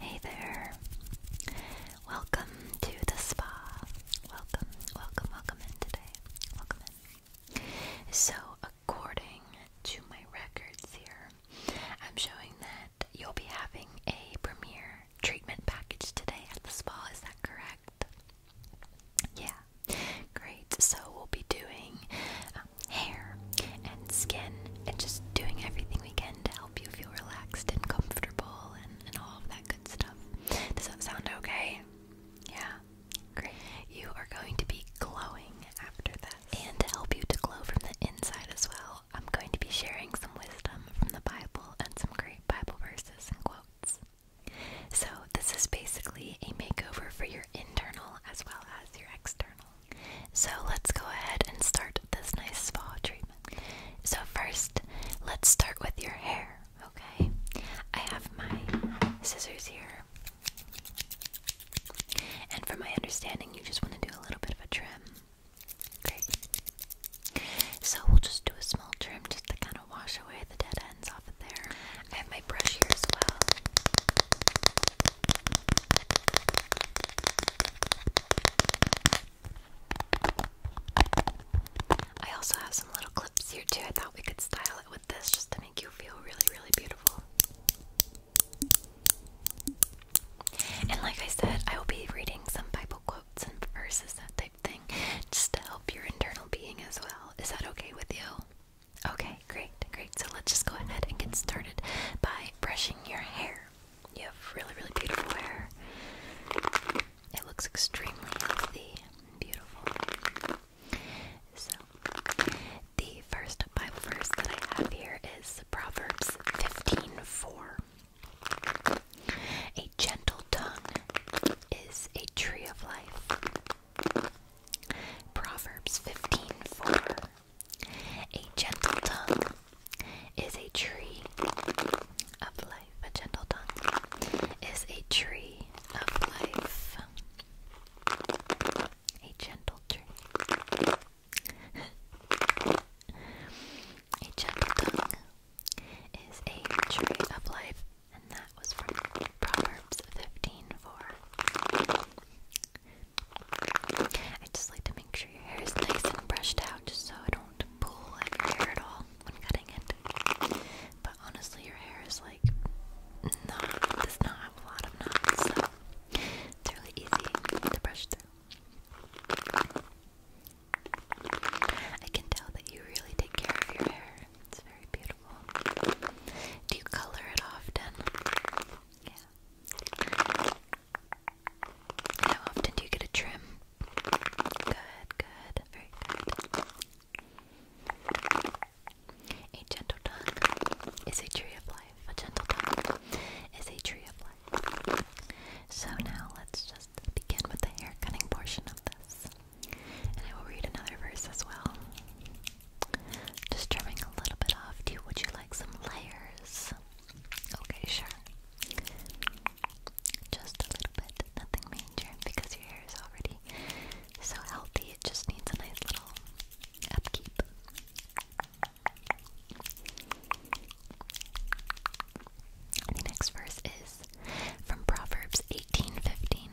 Hey there. Welcome to the spa. Welcome, welcome, welcome in today. Welcome in. So, according to my records here, I'm showing that you'll be having a premiere treatment package today at the spa, is that correct? Yeah, great. So we'll be doing um, hair and skin and just doing everything we can to help you feel relaxed and comfortable and, and all of that good stuff. Does that sound okay? Yeah, great. You are going to be glowing after that, And to help you to glow from the inside as well. I'm going to be sharing some wisdom from the Bible and some great Bible verses and quotes. So, this is basically a makeover for your internal as well as your external. So, let's go ahead and start this nice spa treatment. So, first, let's start with your hair, okay? I have my scissors here. And from my understanding, you just want to do a little bit of a trim. Great. So we'll just do a small trim just to kind of wash away the dead ends off of there. I my brush here as well. I also have some little clips here too. I thought we could style it with this just to make you feel really, really beautiful. And like I said, I will be reading some Bible quotes and verses, that type thing, just to help your internal being as well. Is that okay with you? Okay, great, great. So let's just go ahead and get started by brushing your hair. You have really, really beautiful hair. It looks extremely healthy and beautiful. So, the first Bible verse that I have here is Proverbs 15:4. A gentle tongue is a tree of life. Proverbs 15:4. A gentle tongue is a tree of life. A gentle tongue is a tree of life. A gentle tree. a gentle tongue is a tree of life, and that was from Proverbs 15:4. I just like to make sure your hair is nice and brushed out, just so I don't pull at your hair at all when cutting it. But honestly, your hair is like not does not have a lot of knots, so it's really easy to brush through. I can tell that you really take care of your hair. It's very beautiful. Do you color it often? Yeah. How often do you get a trim? Good, good, very good. A gentle tongue is a tree of life. A gentle touch is a tree of life. So now let's just begin with the hair cutting portion of this. And I will read another verse as well. Just trimming a little bit off. Do would you like some layers? Okay, sure. Just a little bit, nothing major, because your hair is already so healthy. It just needs a nice little upkeep. The next verse is from Proverbs 18:15.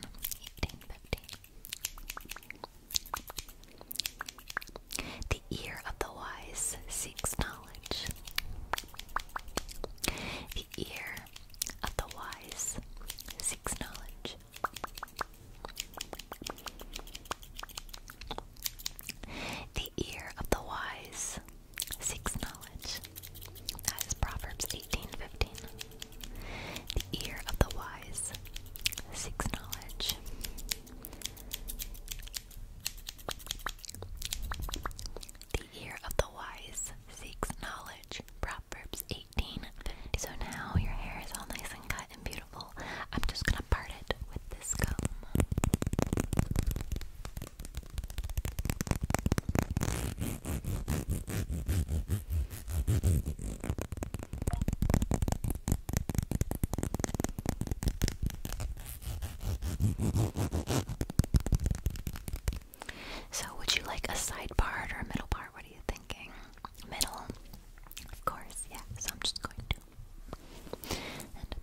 The ear of the wise seeks knowledge. The ear of the wise seeks knowledge. The ear of the wise seeks knowledge. That is Proverbs 18:15. The ear of the wise seeks knowledge. The ear of the wise seeks knowledge. Proverbs 18. So now your hair is all nice and cut and beautiful. I'm just gonna part it with this comb. So, would you like a side part or a middle part? What are you thinking? middle, of course, yeah, so I'm just going to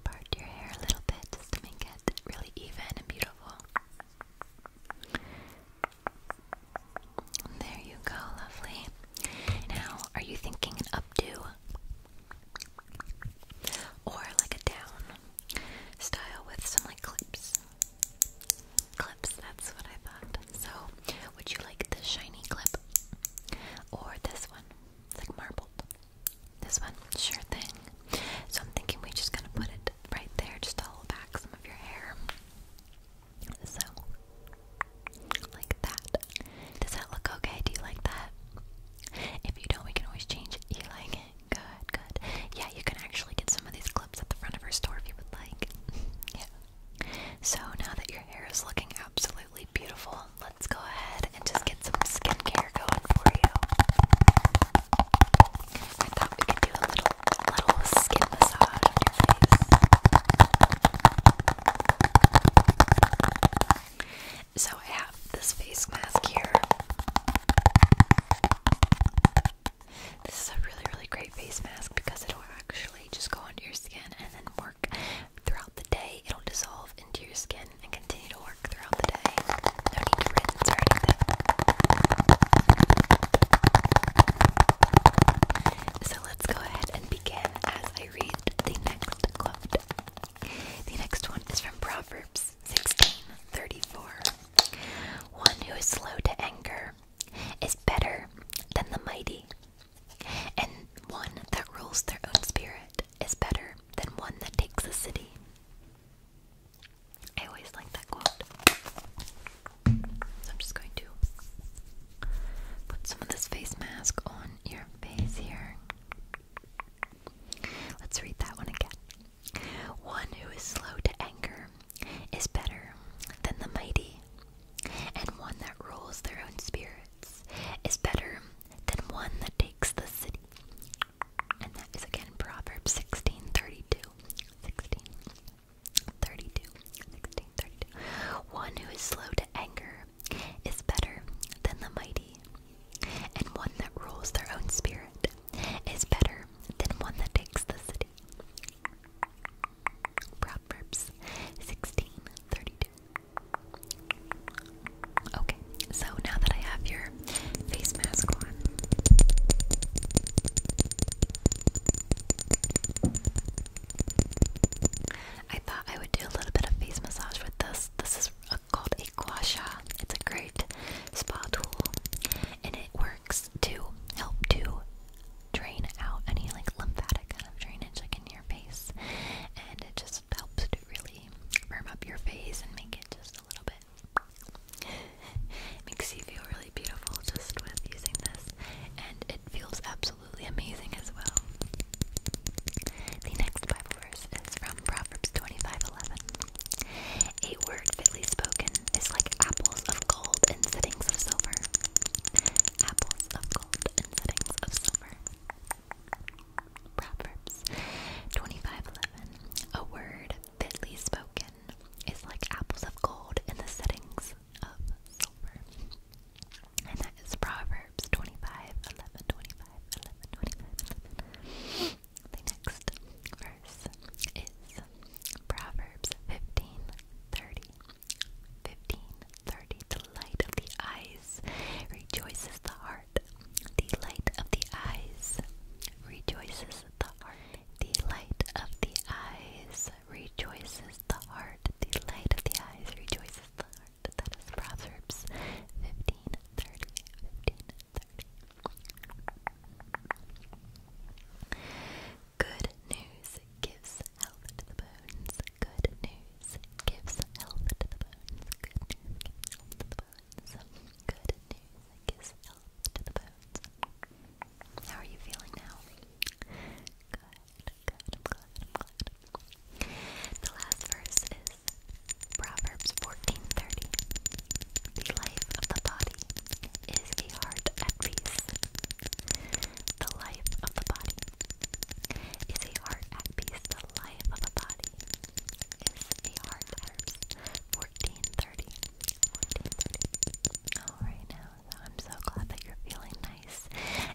part your hair a little bit just to make it really even and beautiful. There you go, lovely. Now, are you thinking an updo or like a down style with some like clips? Clips, that's what I thought. So, would you like the shiny clip? Or this one? It's like marbled. This one? Sure thing. So I'm thinking we just gonna put it right there just to hold back some of your hair. So, like that. Does that look okay? Do you like that? If you don't, we can always change it. You like it? Good, good. Yeah, you can actually get some of these clips at the front of our store if you would like. yeah. So now that your hair is looking absolutely beautiful, let's go ahead and just get some skincare going for you. I thought we could do a little little skin massage on your face. So I have this face mask here. This is a really, really great face mask because it actually just go under your skin and then work throughout the day. It'll dissolve into your skin and continue to work throughout the day. So let's go ahead and begin as I read the next quote. The next one is from Proverbs 16:34. One who is slow to anger is better than the mighty, and one that rules their own spirit is better than one that takes a city. I always like that quote. I'm just going to put some of this face mask on your face here. Let's read that one again. One who is slow to anger is better than the mighty, and one that rules their own spirits is better than one that takes the city. And that is again Proverbs 1632. 1632. 1632. One who is slow to anger is better than the mighty, and one that rules their own spirit is better than one that takes the city. Proverbs 16:32. Okay, so now that I have your face mask on, I thought I would do a little bit of face massage with this. This is called a gua It's a great spa tool, and it works to help to drain out any like lymphatic kind of drainage like in your face and it just helps to really firm up your face and make it just a little bit makes you feel really beautiful just with using this and it feels absolutely amazing as well. The next Bible verse is from Proverbs 25:11. A word fitly spoken is like apples of Apples of gold and settings of silver. Proverbs 25:11. A word fitly spoken is like apples of gold in the settings of silver. And that is Proverbs 25, 11, 25, The next verse is Proverbs 15, 15. 30. The light of the eyes rejoices the heart. The light of the eyes rejoices the heart. The light of the eyes rejoices the heart. The light of the eyes rejoices the heart. That is Proverbs 15 30. 15 30. Good news gives health to the bones. Good news gives health to the bones. Good news gives health to the bones. Good news gives health to the bones. How are you feeling now? Good, good, I'm glad, I'm glad. The last verse is Proverbs 14:30. The life of the body is the heart at peace. The life of the body is the heart at peace. The life of the body is the heart at peace. 1430. 1430. Alright now, I'm so glad that you're feeling nice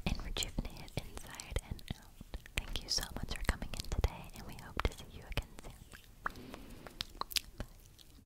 and rejuvenated inside and out. Thank you so much for coming in today, and we hope to see you again soon. Bye.